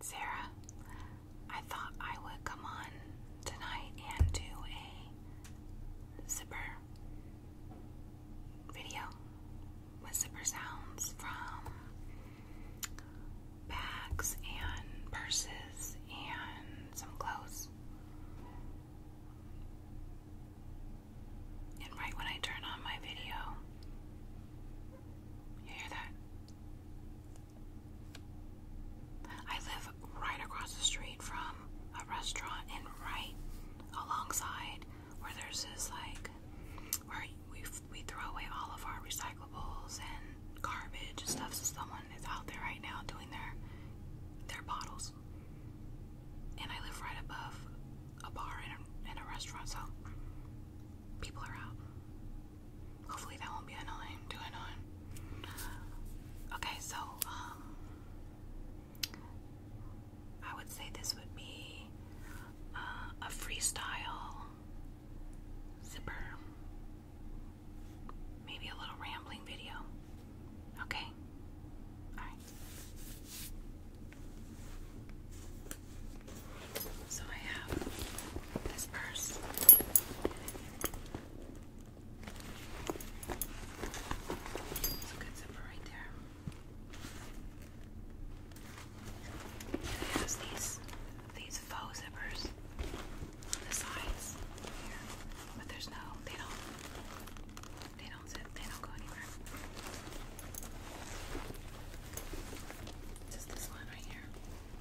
Sarah, I thought I would come on tonight and do a zipper video with zipper sounds from bags and purses and some clothes. And right when I turn on my video, you hear that? I live right across the street from a restaurant and right alongside where there's this like where we we throw away all of our recyclables and garbage and stuff. So someone is out there right now doing their their bottles. And I live right above a bar and a, and a restaurant, so people are out. Hopefully that won't be annoying, too annoying. Okay, so um I would say this would be uh, a freestyle zipper. Maybe a little rambling video. Okay. All right. So I have this purse. It's a good zipper right there. it has these these faux zippers on the sides But there's no they don't they don't zip, they don't go anywhere. Just this one right here.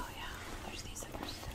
Oh yeah, there's these suckers too.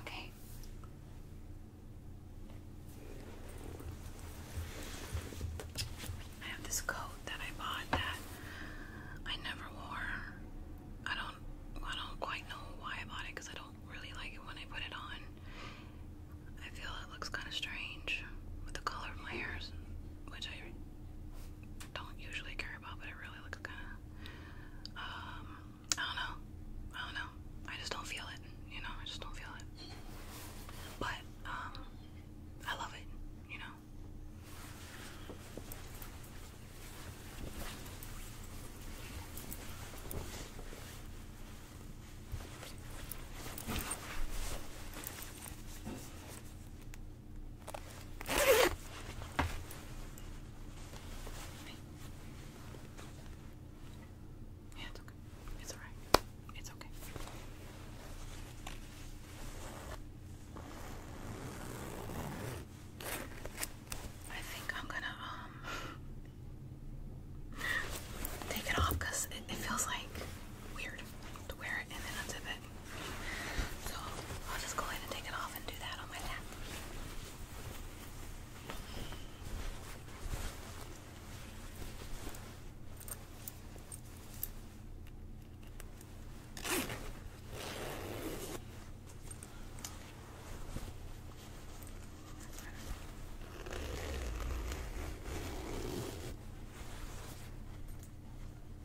Okay. I have this coat that I bought that I never wore. I don't I don't quite know why I bought it because I don't really like it when I put it on. I feel it looks kind of strange with the color of my ears, which I don't usually care about, but it really looks kind Um, I don't know. I don't know. I just don't feel it. You know, I just don't feel it. But um, I love it. You know it's okay. I think I'm gonna um take it off it feels like weird to wear it and then unzip it good. So I'll just go ahead and take it off and do that on my lap. Okay.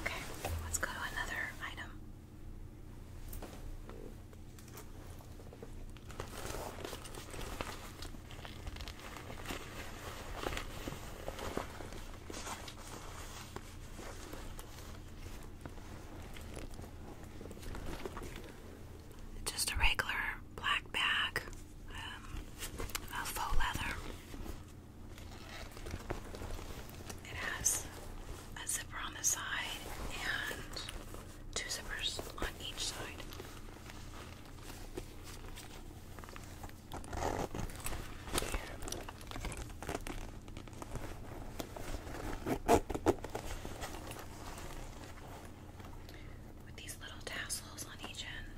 Okay, let's go to another item. Just a regular black bag um, faux leather. It has a zipper on the side and two zippers on each side. With these little tassels on each end.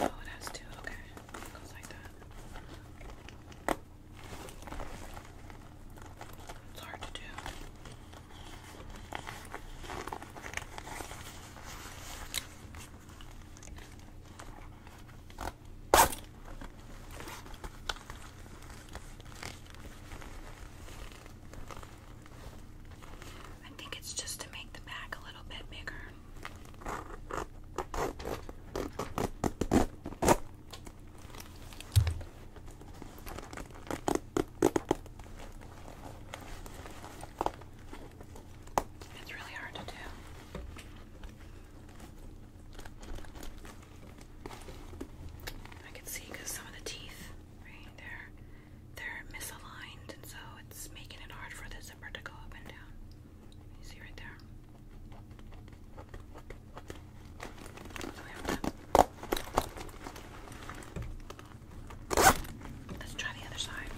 Oh, it has two. Okay, goes like that. It's hard to do. I think it's just to make the back a little bit bigger. It's really hard to do. I can see because some of the teeth, they're, they're misaligned, and so it's making it hard for the zipper to go up and down. You see right there? So we have that. Let's try the other side.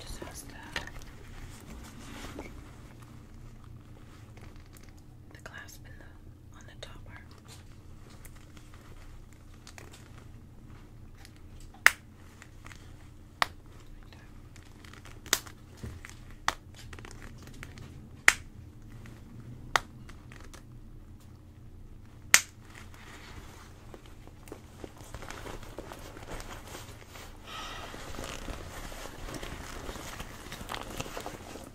Just has the the clasp in the on the topper.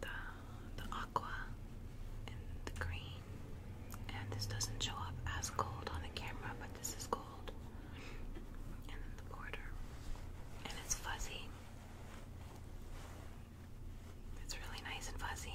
the the aqua and the green. And this doesn't show up as gold on the camera, but this is gold. And the border. And it's fuzzy. It's really nice and fuzzy.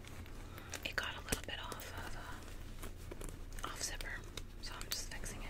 it got a little bit off of uh, off zipper, so I'm just fixing it.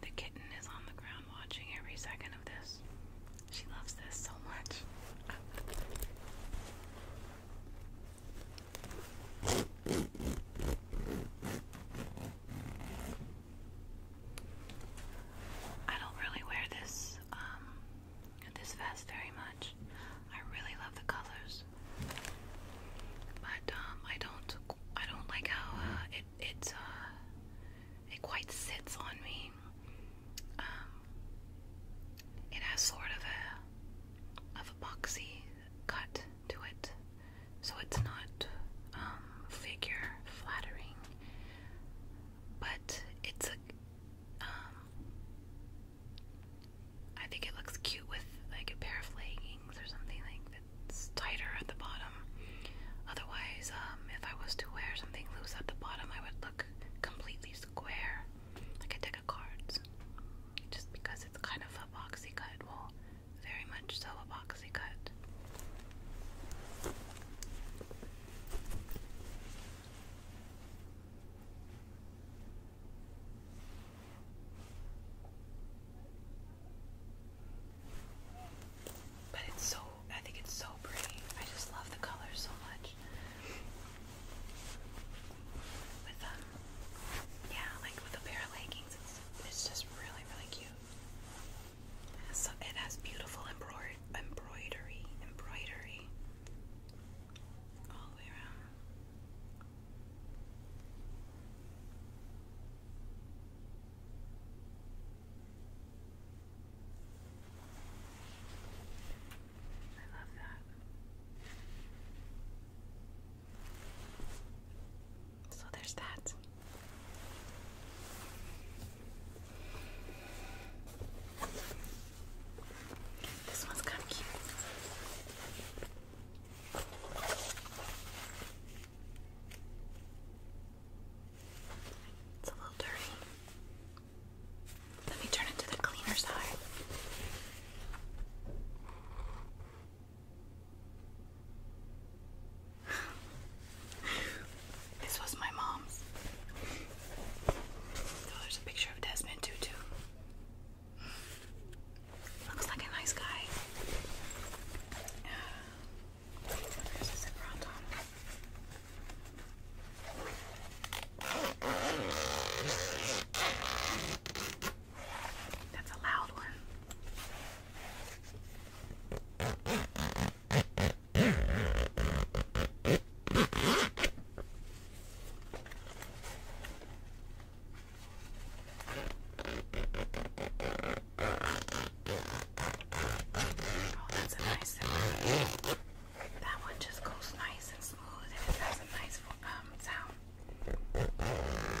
The kitten is on the ground watching every second of this. She loves this so much. I don't really wear this um, this vest very much. I really love the colors, but um, I don't I don't like how uh, it uh, it quite sits on me. Um, it has sort of a of a boxy cut to it, so it's not um, figure flattering, but it's um, I think it looks cute with like a pair of leggings or something like that's tighter at the bottom. Otherwise, um, if I was to wear something loose at the bottom, I would look completely square, like a deck of cards. Just because it's kind of a boxy cut will very much so a boxy cut. But it's so, I think it's so pretty. I just love the color so much. With um, yeah, like with a pair of leggings, it's just really, really cute. it has beautiful embroidery, embroidery, embroidery all the way around. I love that. So there's that. This one's kind of cute. It's a little dirty. Let me turn it to the cleaner side this was my mom's. So oh, there's a picture of Desmond Tutu. Looks like a nice guy. Uh, there's a zipper on that's a loud one. Oh, that's a nice sound. That one just goes nice and smooth and it has a nice um sound.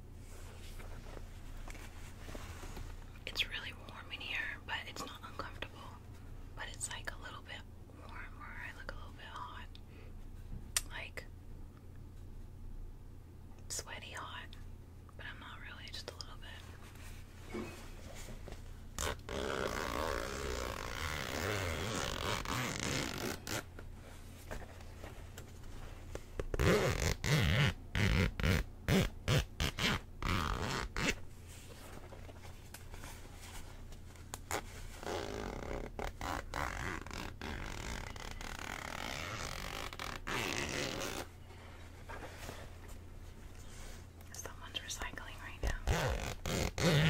It's really warm in here, but it's not uncomfortable. But it's like a little bit warm, or I look a little bit hot. Like, sweaty hot. But I'm not really, just a little bit. Someone's recycling right now.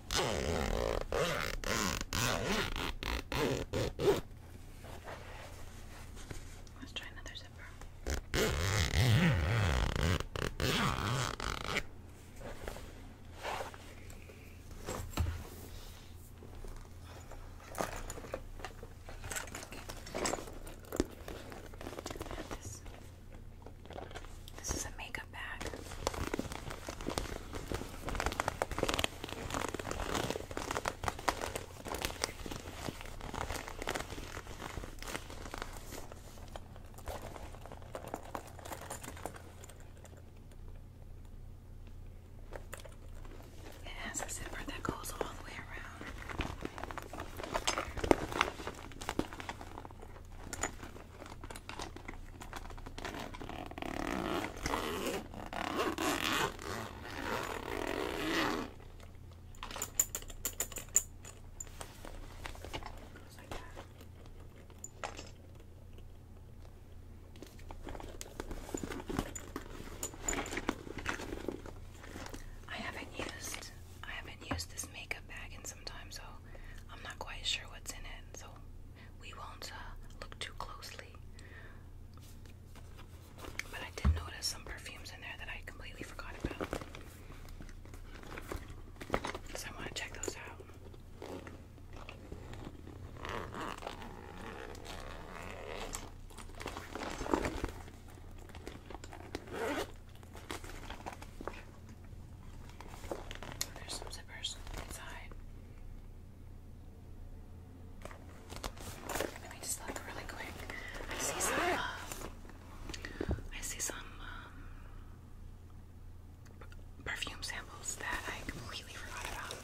Let's try another zipper. This. this is a makeup bag. It has a zipper that goes all the way around. I haven't used I haven't used this makeup bag in some time, so I'm not quite sure what's in it. So we won't uh, look too closely. But I did notice some perfumes in there that I completely forgot about. So I want to check those out. There's some zippers inside. Let me just look really quick. I see some. Um, um, perfume samples that I completely forgot about.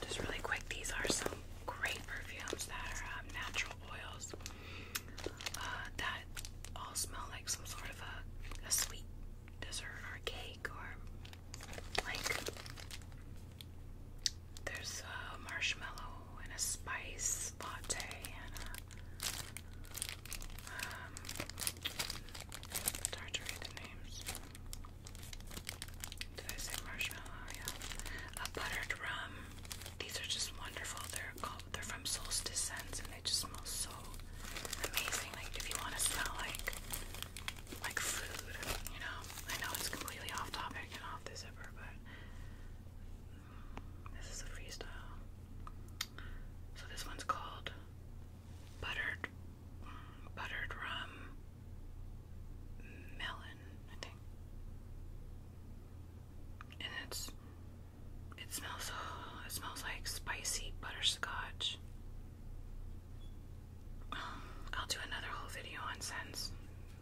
Just really quick, these are some great perfumes that are um, natural oils uh, that all smell like some sort of a, sweet dessert or cake or like there's a marshmallow and a spice latte and a um, it's to read the names. Did I say marshmallow? Yeah. A buttered rum. These are just wonderful. They're called. They're from Solstice Scents, and they just smell so amazing. Like if you want to smell like like food, you know. I know it's completely off topic and off the zipper, but mm, this is a freestyle. So this one's called buttered buttered rum, melon, I think. And it's it smells oh, it smells like spicy butterscotch. Um, I'll do another whole video on scents.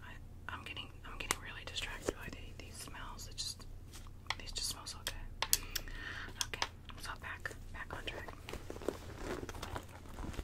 I, am getting I'm getting really distracted by the, these smells. It just these just smell so good. Okay, so back back on track.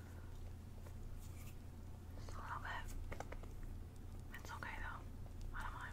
Just a little bit. It's okay though. I don't mind.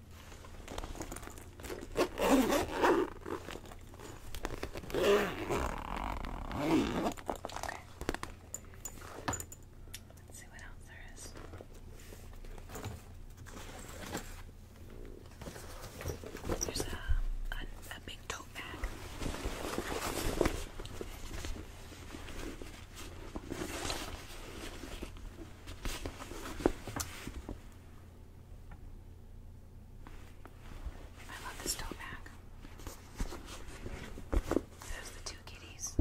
Let's see what else there is. There's a, a, a big tote bag. I love this tote bag. There's the two kitties.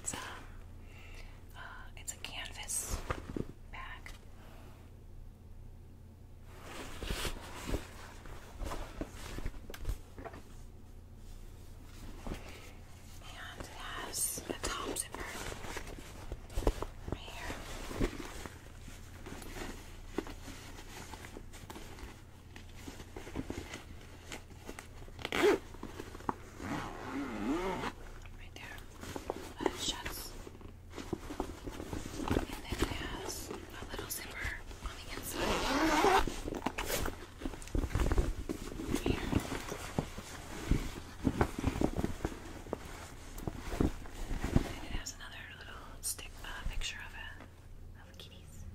It's a, um, uh, it's a canvas bag. And it has the top zipper right here. Right there. That shuts. And then it has a little zipper on the inside. Here. And it has another little stick uh, picture of it. Of kitties.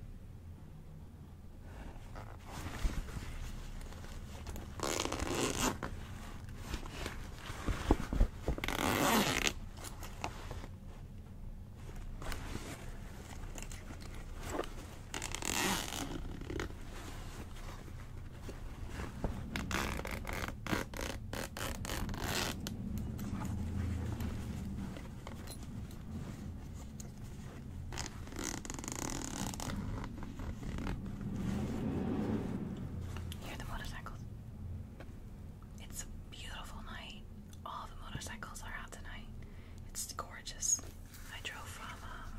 Hear the motorcycles. It's a beautiful night. All the motorcycles are out tonight. It's gorgeous. I drove from, um,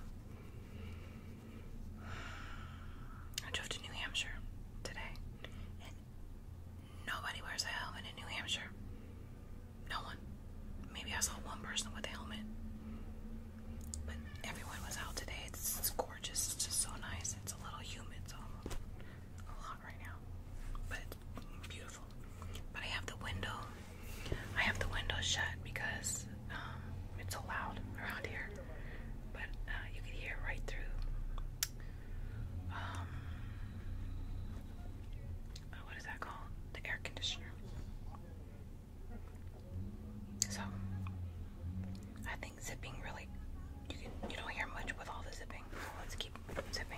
I drove to New Hampshire today, and nobody wears a helmet in New Hampshire. No one. Maybe I saw one person with a helmet, but everyone was out today. It's, gorgeous. It's so nice because it's a little humid, so i a lot right now. But beautiful. But I have the window. I have the window shut because um, it's so loud around here. But uh, you can hear right through. Um, uh, what is that called? The air conditioner. So I think zipping really you can you don't hear much with all the zipping. So let's keep zipping.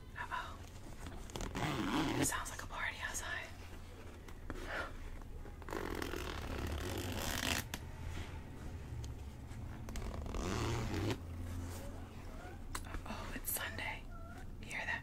How It sounds like a party outside. Oh, it's Sunday. hear that?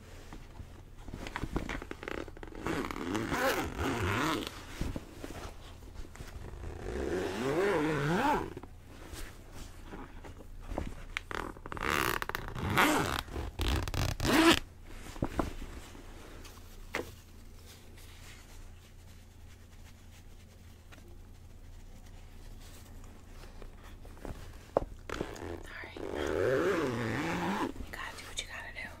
All right. You gotta do what you gotta do.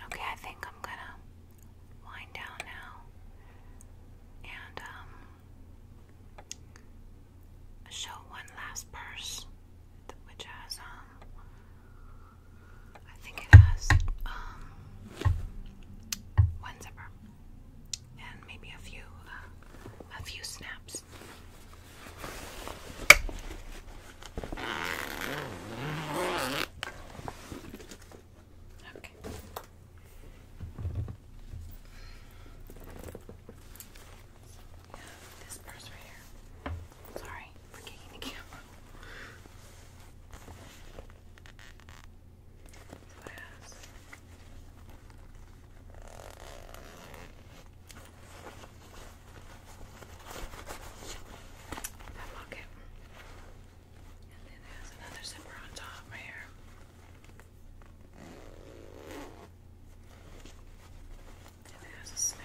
Okay, I think I'm gonna wind down now, and um, show one last purse, which has um, I think it has um, one zipper and maybe a few uh, a few snaps. Okay. Yeah, this purse right here. Sorry for kicking the camera. So it has that locket. And then it has another zipper on top right here. And it has a snap.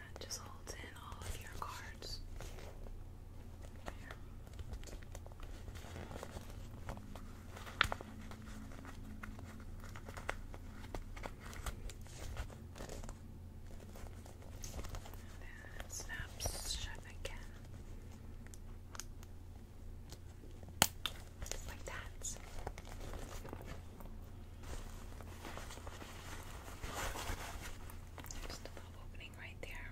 that just holds in all of your cards. Here. snaps shut again. Like that. Just a little opening right there.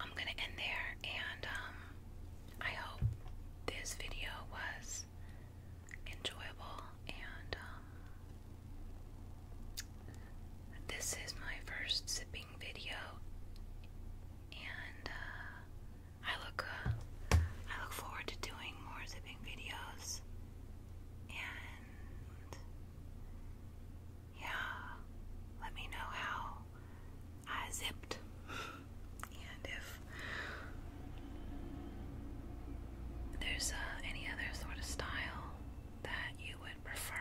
I'm gonna end there, and um, I hope this video was enjoyable. And um, this is my first zipping video, and uh, I look uh, I look forward to doing more zipping videos. And yeah, let me know how I zipped and if there's uh, any other sort of style that you would prefer.